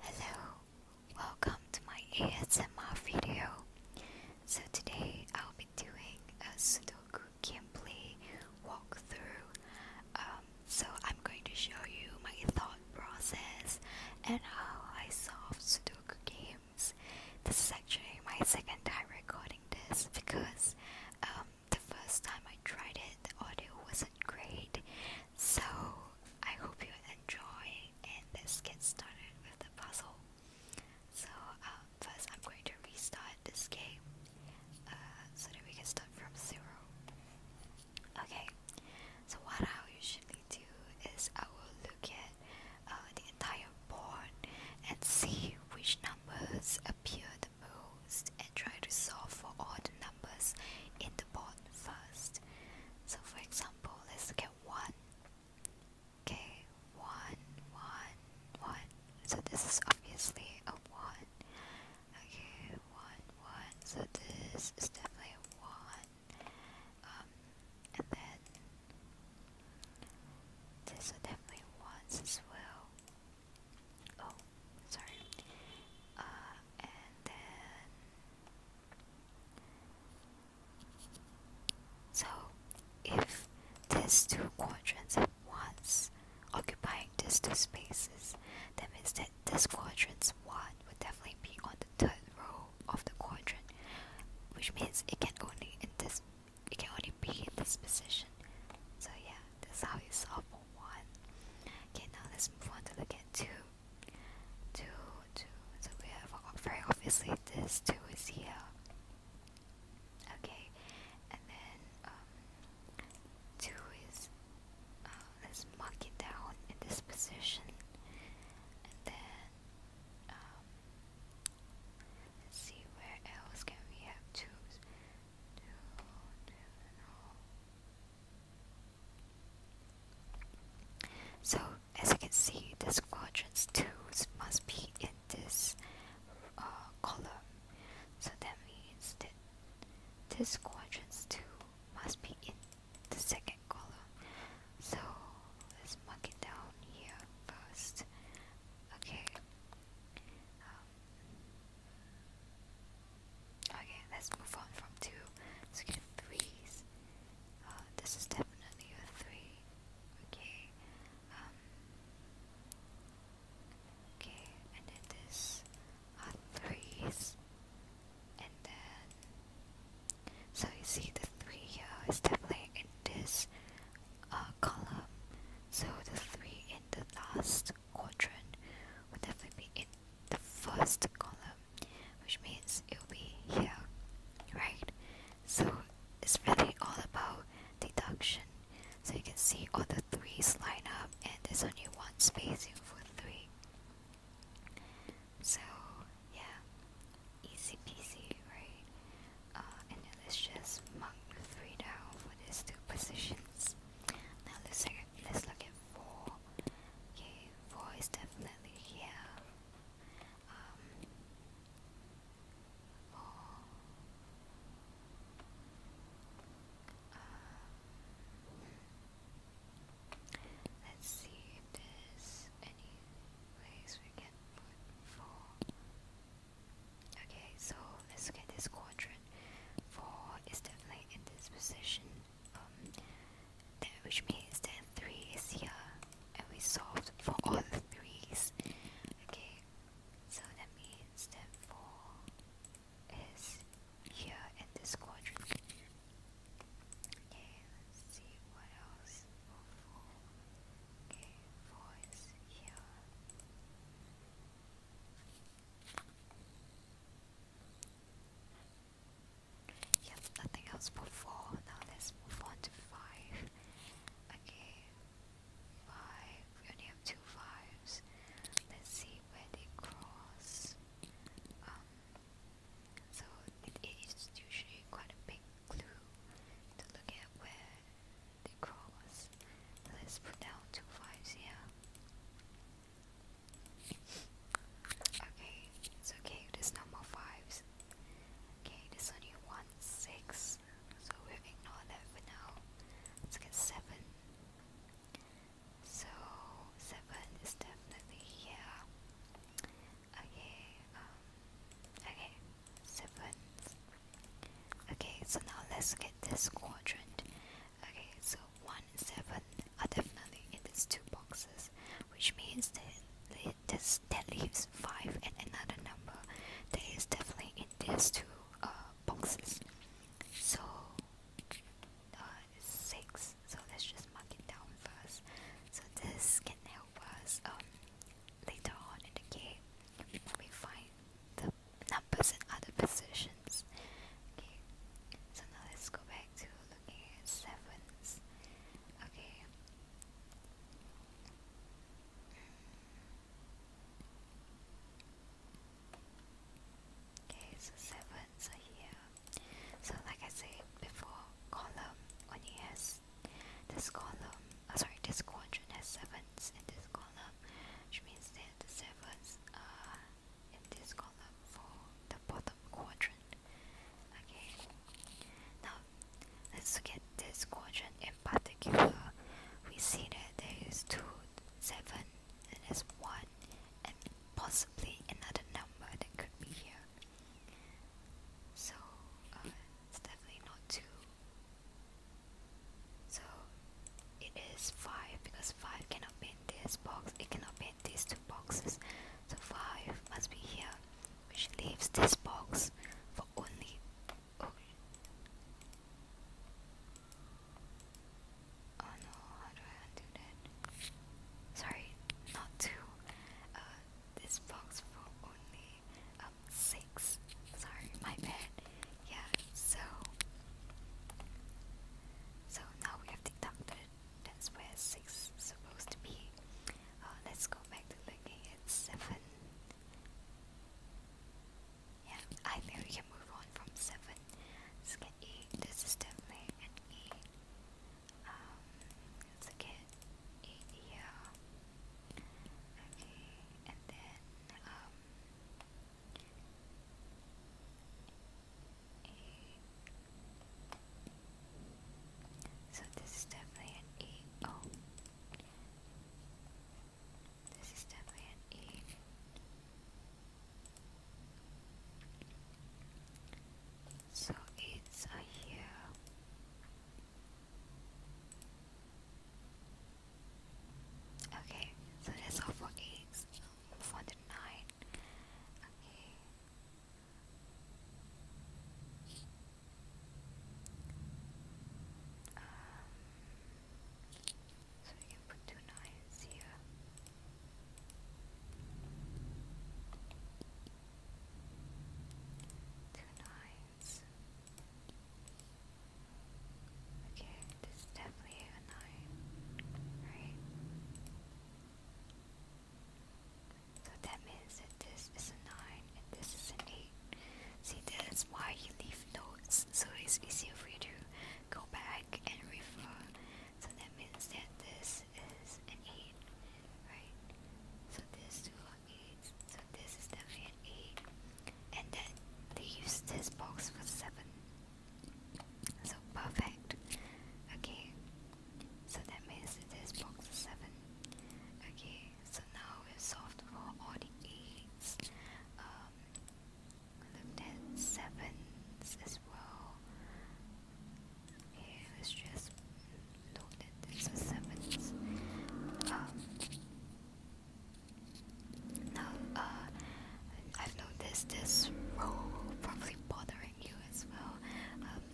Hello, welcome to my ASMR video. So today I'll be doing a Sudoku gameplay walkthrough. Um, so I'm going to show you my thought process and how I solve Sudoku games. This is actually my second time recording this because um, the first time I tried it the audio wasn't great so I hope you enjoy, and let's get started with the puzzle. So um, first, I'm going to restart this game uh, so that we can start from zero. Okay. So what I'll usually do is I will look at uh, the entire board and see which numbers appear the most, and try to solve for all the numbers in the the first. So for example, let's look at 1. Okay, 1, So this is obviously a 1. Okay, 1, 1. So this is definitely a 1. Um, and then this is definitely 1s as well. Oh, sorry. Uh, so if these two quadrants at once occupying these two spaces that means that this quadrant's 1 would definitely be on the third row of the quadrant which means it can only in this it can only be in this position so yeah that's how you solve for 1 okay now let's move on to look at 2 2, 2, so we have very obviously this 2 is here. Okay, and then um, 2 is, uh, let's mark it down in this position. And then, um, see where else can we have 2's. So as you can see, the squadron's two must be in this uh, column. So that means that this squadron's two must be in the second column. So let's mark it down here first. Okay. Um, Okay, let's move on from two. threes. Uh, this is definitely a three. Okay. Um, okay, and then this are threes. And then, so you see the three here is definitely in this uh, column. So the three in the last quadrant would definitely be in the first column which means it'll be here right so it's really all about deduction so you can see all the threes line up and there's only one spacing for three so yeah easy peasy right uh, and let's just mark three down for these two positions now let's Let's look at four. Okay, four is definitely here. Um, four. Uh, hmm, let's see if there's any place we can put four. Okay, so let's look this quadrant. Four is definitely in this position. Um, which means that three is here, and we solved for all the threes. Okay, so that means that four is here in this quadrant. Okay, let's see what else. Okay, four is here. Yep, nothing else but four. Now let's move on to five. Okay, five. We only have two fives. Let's see where they cross. Um, so it is usually quite a big clue to look at where they cross. Let's put down two fives here. Okay, it's okay, it is number 5s. Okay, it is only 1, 6, so we ignore that for now. Let's get 7. So, 7 is definitely here. Okay, um, okay, 7. Okay, so now let's get this quadrant. Okay, so 1 and 7 are definitely in these two boxes, which means that that leaves 5 and another number that is definitely in these two uh, boxes. So, uh, 6. So let's just mark it down first. So this can help us um, later on in the game when we find the numbers in other positions. Okay, so now let's go back to looking at sevens. Okay. Okay, so sevens are here. So like I said before, column only has this column. Oh, sorry, this quadrant has sevens, in this. Column column which means that the are in this column for the bottom quadrant okay now let's look at this quadrant in particular we see that there is 2 7 and there's 1 and possibly another number that could be here so uh, it's definitely not 2 so it is 5 because 5 cannot be in this box, it cannot be in these two boxes. So 5 must be here, which leaves this box for only. Oh, oh no, how do I undo that? Sorry, not 2. Uh, this box for only um, 6. Sorry, my bad yeah, so so now we have deducted that's where 6 is supposed to be uh, let's go back to looking at 7 yeah, I think we can move on from 7 let's get 8, this is definitely an 8 um, let's get 8 here okay, and then um so this is definitely an E. Oh. This is definitely an E. So it's a here. Okay, so that's all for eight. So move nine. Okay. Um, so we can put two nines here. Two Okay, this is definitely a nine, right? So that means that this is a nine and this is an eight. See, that's why you leave notes, so it's easier for you to go back and refer. So that means that this is an eight, right? So this two so this is definitely an eight. And then they used this box for seven. So perfect. Okay. So that means this box is seven. Okay. So now we've solved for all the e's. Um, looked at sevens as well. Okay, just look at this for sevens. Um, now, uh, I've noticed this roll probably bothering you as well.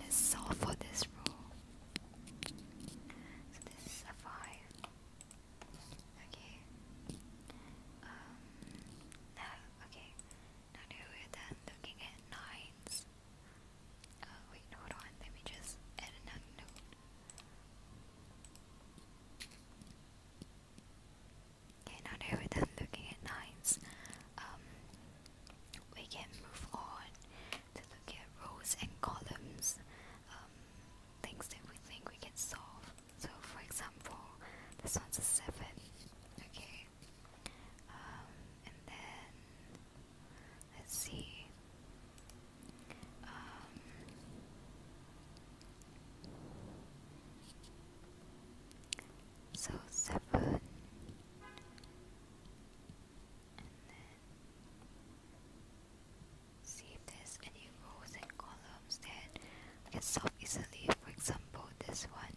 let's um, solve for this roll. So this is a five. Okay. Um, now, okay. Now then looking at nines. Uh, wait, hold on. Let me just add another Okay, now that we're done looking at nines, um, we can move on to look at rows and columns, um, things that we think we can solve. So, for example, this one's a 7, okay, um, and then Let's see. Um, so seven, see if there's any rows and columns that I can solve easily. For example, this one,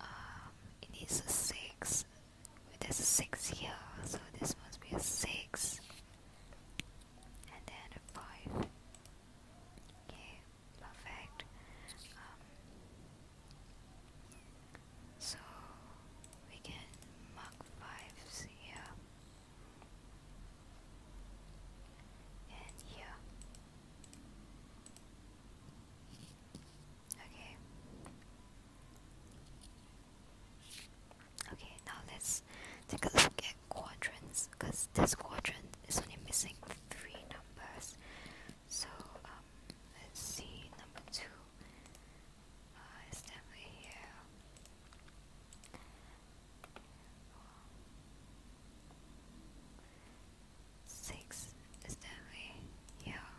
um, it needs a six. There's a six here, so this must be a six and then a five. Okay, perfect. Um, so we can mark fives here and here. Okay. Okay, now let's take a look at quadrants because this quadrant is only missing three numbers. So um, let's see, number two uh, is definitely here. Six is definitely here.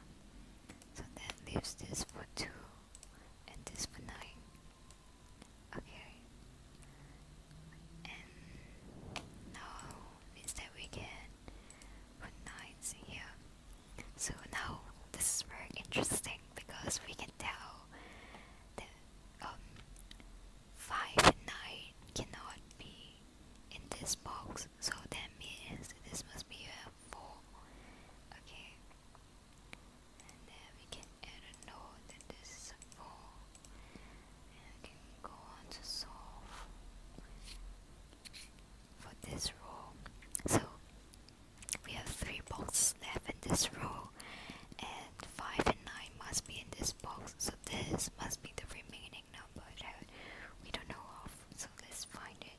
So that leaves this for two at this for now. Okay. And now is that we can put knights here. So now this is very interesting because we can tell that um, five nine cannot be in this box. So that means this must be a four. Okay. And then we can add a note that this is four. And we can go on to solve for this row. So we have three boxes left in this row and five and nine must be in this box. So this must be the remaining number that we don't know of. So let's find it.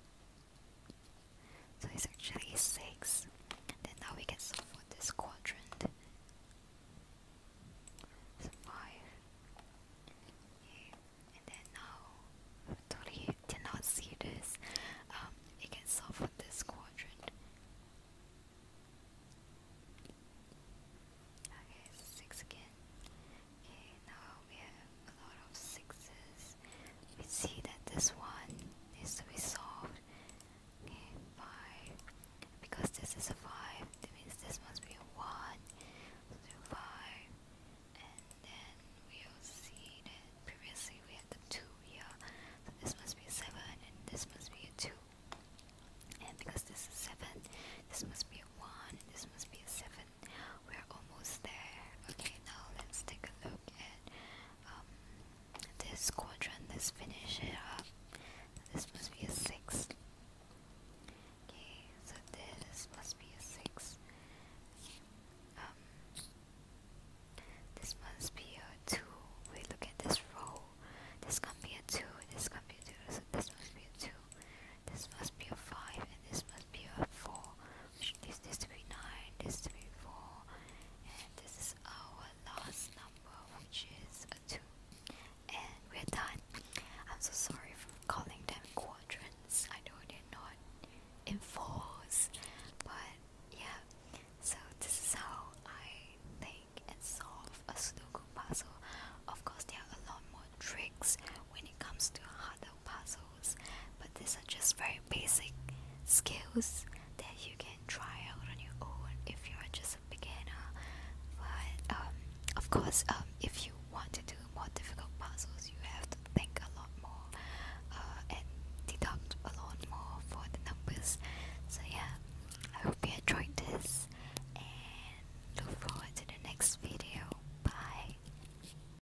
So it's actually 6. And then now we can solve for this quadrant. 5. And then now, totally did not see this. Um, it can solve for this quadrant. Okay, 6 again. Okay, now we a lot of sixes. We see that this one needs to be solved. Okay, five. Because this is a five, means this must be a one. So five, and then we see that previously we had the two here. So this must be a seven, and this must be a two. And because this is seven, this must be a one. This must be a seven. We're almost there. Okay, now let's take a look at. Um, this quadrant, this finish it up. This must be a six. Okay, so this must be a six. Um, this must be a two. Wait, look at this row. This can be a two. This can be a two. So this must be a two. This must be a five, and this must be a four this this to 9 this to 4 and this is our last number which is a 2 and we're done I'm so sorry for calling them quadrants I know they're not in fours but yeah so this is how I think and solve a Sudoku puzzle of course there are a lot more tricks when it comes to harder puzzles, but these are just very basic skills that you can try out on your own if you are just a beginner. But um, of course, um, if you want to do more difficult puzzles, you have to think a lot more uh, and deduct a lot more for the numbers. So, yeah, I hope you enjoyed this and look forward to the next video. Bye.